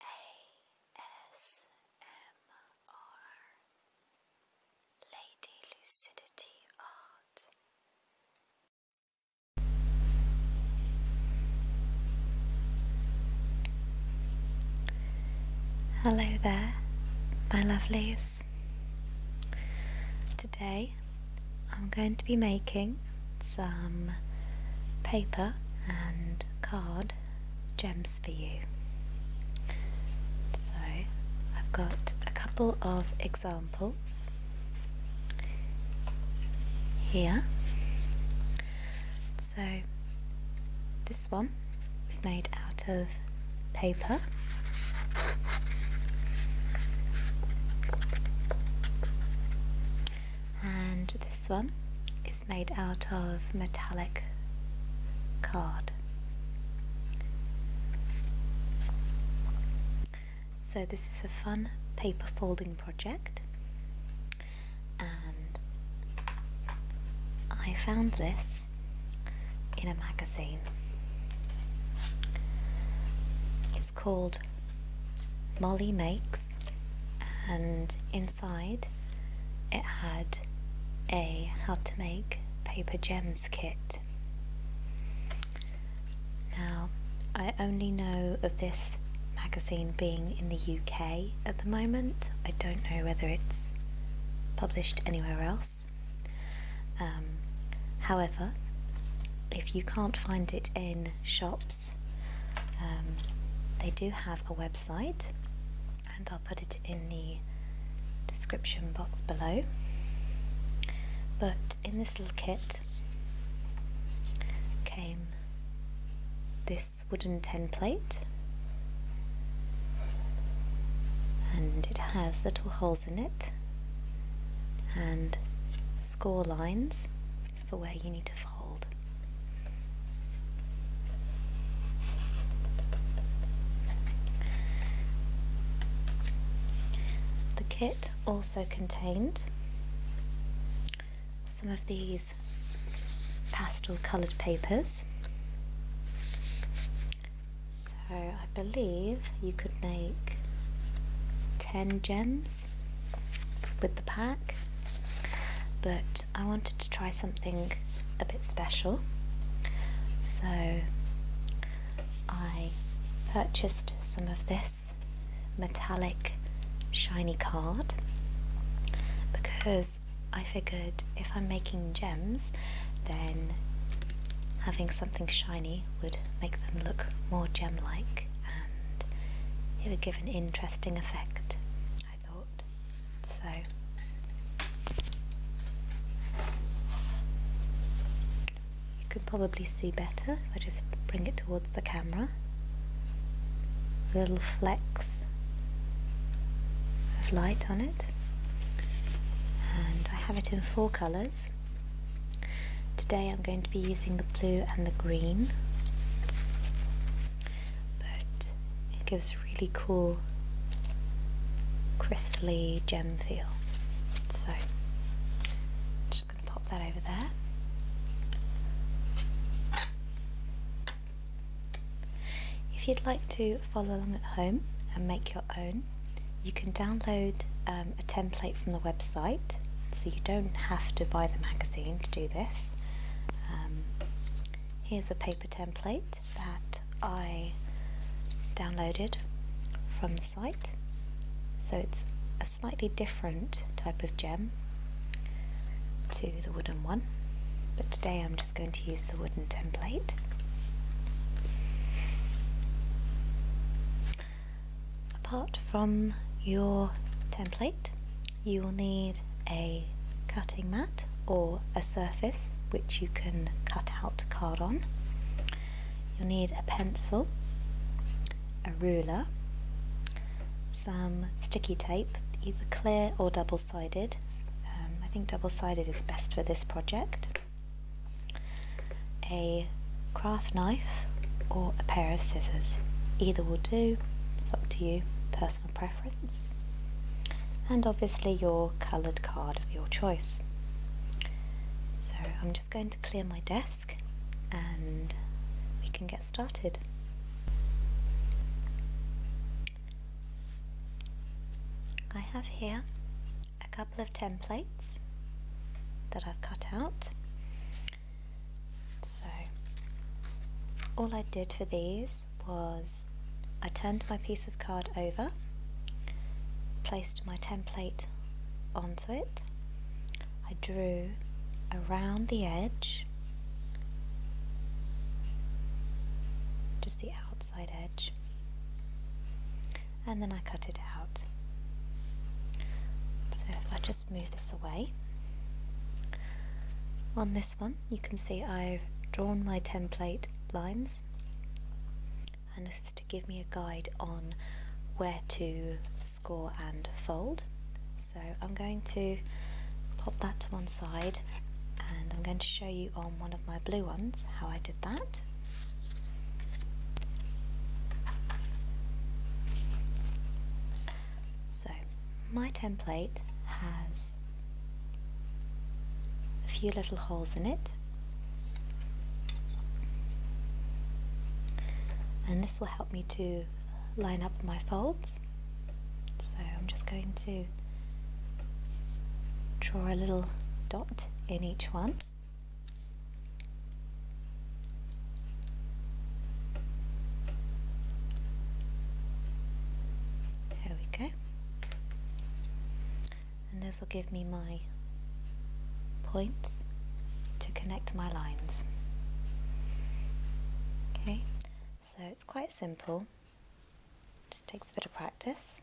ASMR Lady Lucidity Art. Hello there, my lovelies. Today I'm going to be making some paper and card gems for you. So I've got a couple of examples here. So this one is made out of paper and this one is made out of metallic card. So this is a fun paper folding project and I found this in a magazine called Molly Makes, and inside it had a how to make paper gems kit. Now, I only know of this magazine being in the UK at the moment. I don't know whether it's published anywhere else. Um, however, if you can't find it in shops. Um, they do have a website, and I'll put it in the description box below. But in this little kit came this wooden tin plate, and it has little holes in it and score lines for where you need to fold. The kit also contained some of these pastel coloured papers. So I believe you could make 10 gems with the pack, but I wanted to try something a bit special, so I purchased some of this metallic shiny card because I figured if I'm making gems, then having something shiny would make them look more gem like it would give an interesting effect, I thought. So, you could probably see better if I just bring it towards the camera. A Little flecks of light on it, and I have it in four colours. Today I'm going to be using the blue and the green, but it gives a really cool crystally gem feel. So I'm just going to pop that over there. If you'd like to follow along at home and make your own, you can download um, a template from the website, so you don't have to buy the magazine to do this. Um, here's a paper template that I downloaded from the site. So it's a slightly different type of gem to the wooden one, but today I'm just going to use the wooden template apart from your template you will need a cutting mat or a surface which you can cut out card on you'll need a pencil a ruler some sticky tape either clear or double-sided um, I think double-sided is best for this project a craft knife or a pair of scissors. Either will do, it's up to you, personal preference. And obviously your coloured card of your choice. So I'm just going to clear my desk and we can get started. I have here a couple of templates that I've cut out. So all I did for these was I turned my piece of card over, placed my template onto it, I drew around the edge, just the outside edge, and then I cut it out. So if I just move this away, on this one you can see I've drawn my template lines and this is to give me a guide on where to score and fold. So I'm going to pop that to one side and I'm going to show you on one of my blue ones how I so my template has a few little holes in it and this will help me to line up my folds so I'm just going to draw a little dot in each one. There we go. And this will give me my points to connect my lines. Okay, so it's quite simple. Just takes a bit of practice.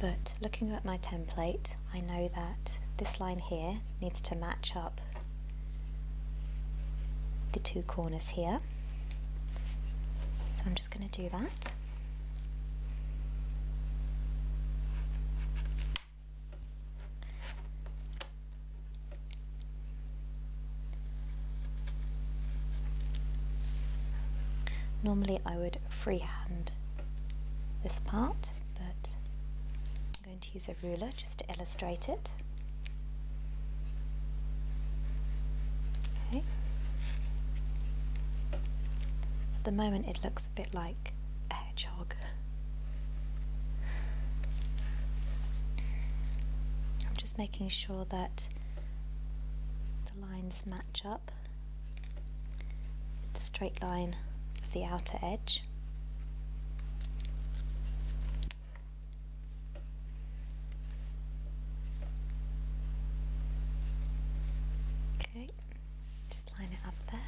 But looking at my template, I know that this line here needs to match up the two corners here. So I'm just going to do that. Normally I would freehand this part, but I'm going to use a ruler just to illustrate it. Okay. At the moment it looks a bit like a hedgehog. I'm just making sure that the lines match up with the straight line of the outer edge. Okay, just line it up there.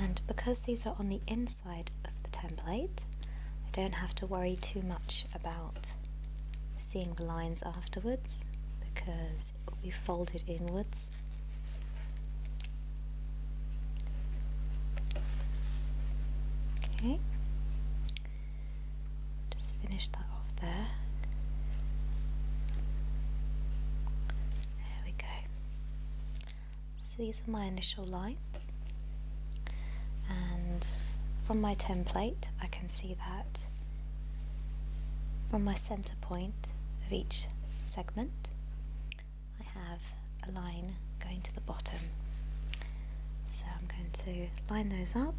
And because these are on the inside of the template, I don't have to worry too much about seeing the lines afterwards because we fold it inwards. Okay, just finish that off there. There we go. So these are my initial lines, and from my template, I can see that from my center point of each segment, I have a line going to the bottom. So I'm going to line those up.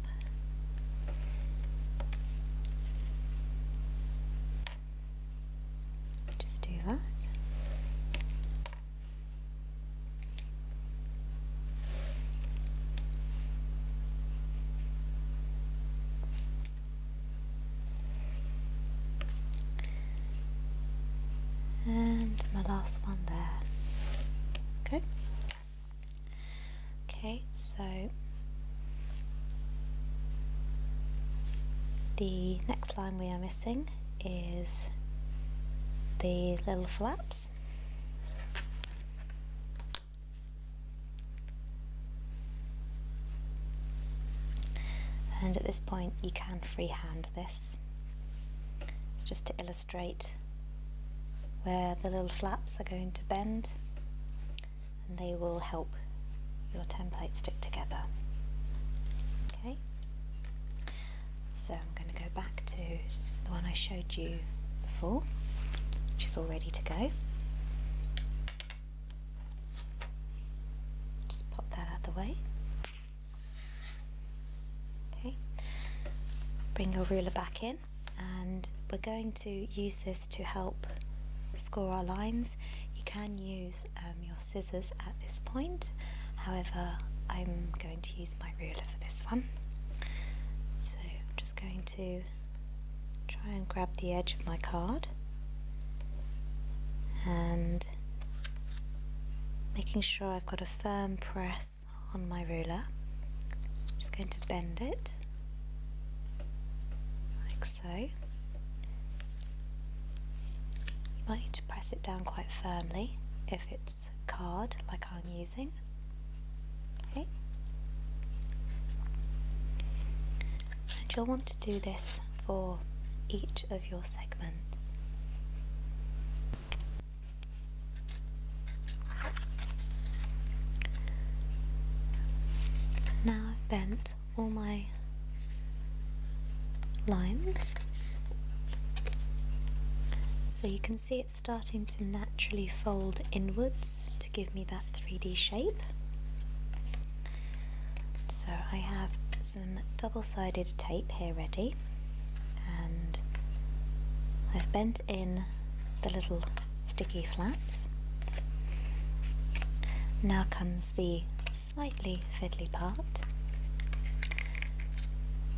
Just do that. And my last one there. Okay. Okay, so the next line we are missing is the little flaps. And at this point you can freehand this. It's just to illustrate where the little flaps are going to bend and they will help your template stick together. Okay, so I'm going to go back to the one I showed you before, which is all ready to go. Just pop that out of the way. Okay, bring your ruler back in and we're going to use this to help score our lines. You can use um, your scissors at this point, however I'm going to use my ruler for this one. So I'm just going to try and grab the edge of my card and making sure I've got a firm press on my ruler. I'm just going to bend it like so. You might need to press it down quite firmly if it's card like I'm using. And you'll want to do this for each of your segments. Now I've bent all my lines so you can see it's starting to naturally fold inwards to give me that 3D shape. So I have some double-sided tape here ready and I've bent in the little sticky flaps. Now comes the slightly fiddly part,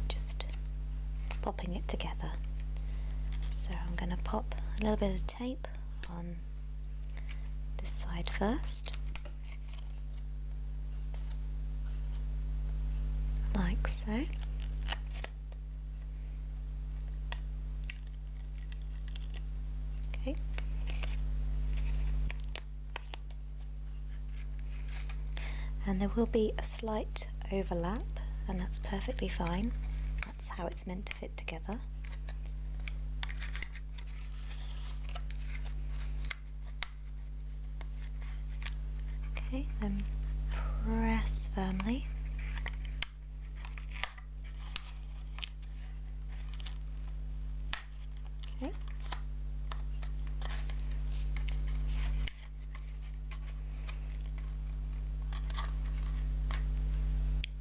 just popping it together. So I'm going to pop a little bit of tape on this side first, like so. Okay. And there will be a slight overlap and that's perfectly fine. That's how it's meant to fit together. Okay, then press firmly. Okay.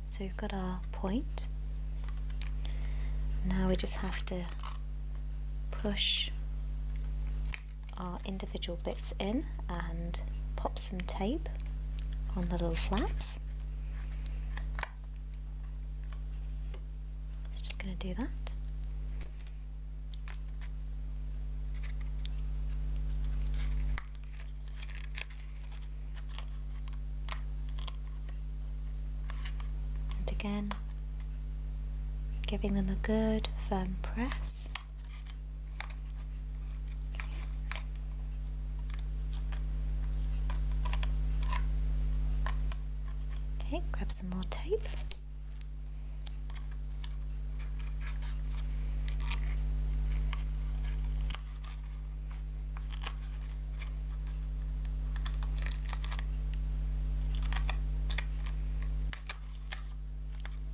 So we've got our point. Now we just have to push our individual bits in and pop some tape on the little flaps. So just going to do that. And again giving them a good firm press. Okay, grab some more tape.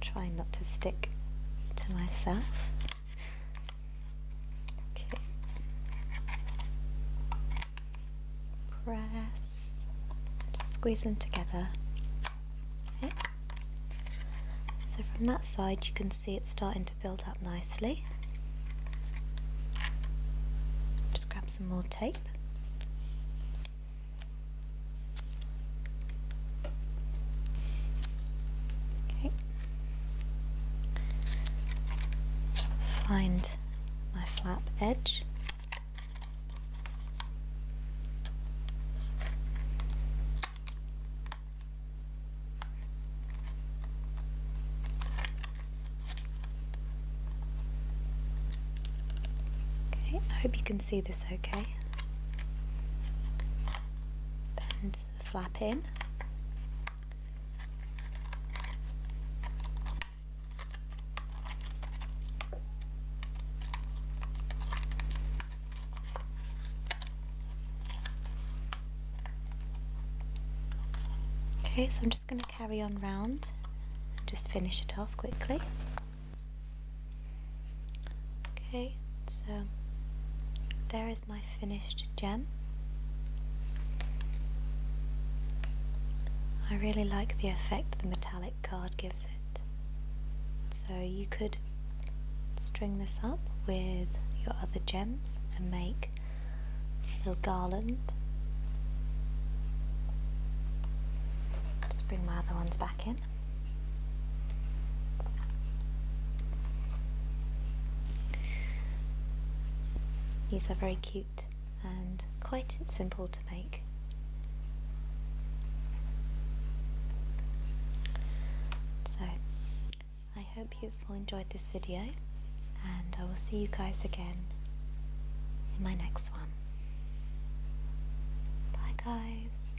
Try not to stick to myself. Press, squeeze them together. So from that side you can see it's starting to build up nicely. Just grab some more tape. Find my flap edge. Okay, I hope you can see this okay. Bend the flap in. Okay, so I'm just going to carry on round just finish it off quickly okay so there is my finished gem I really like the effect the metallic card gives it so you could string this up with your other gems and make little garland. Just bring my other ones back in. These are very cute and quite simple to make. So, I hope you've all enjoyed this video and I will see you guys again in my next one. Bye, guys.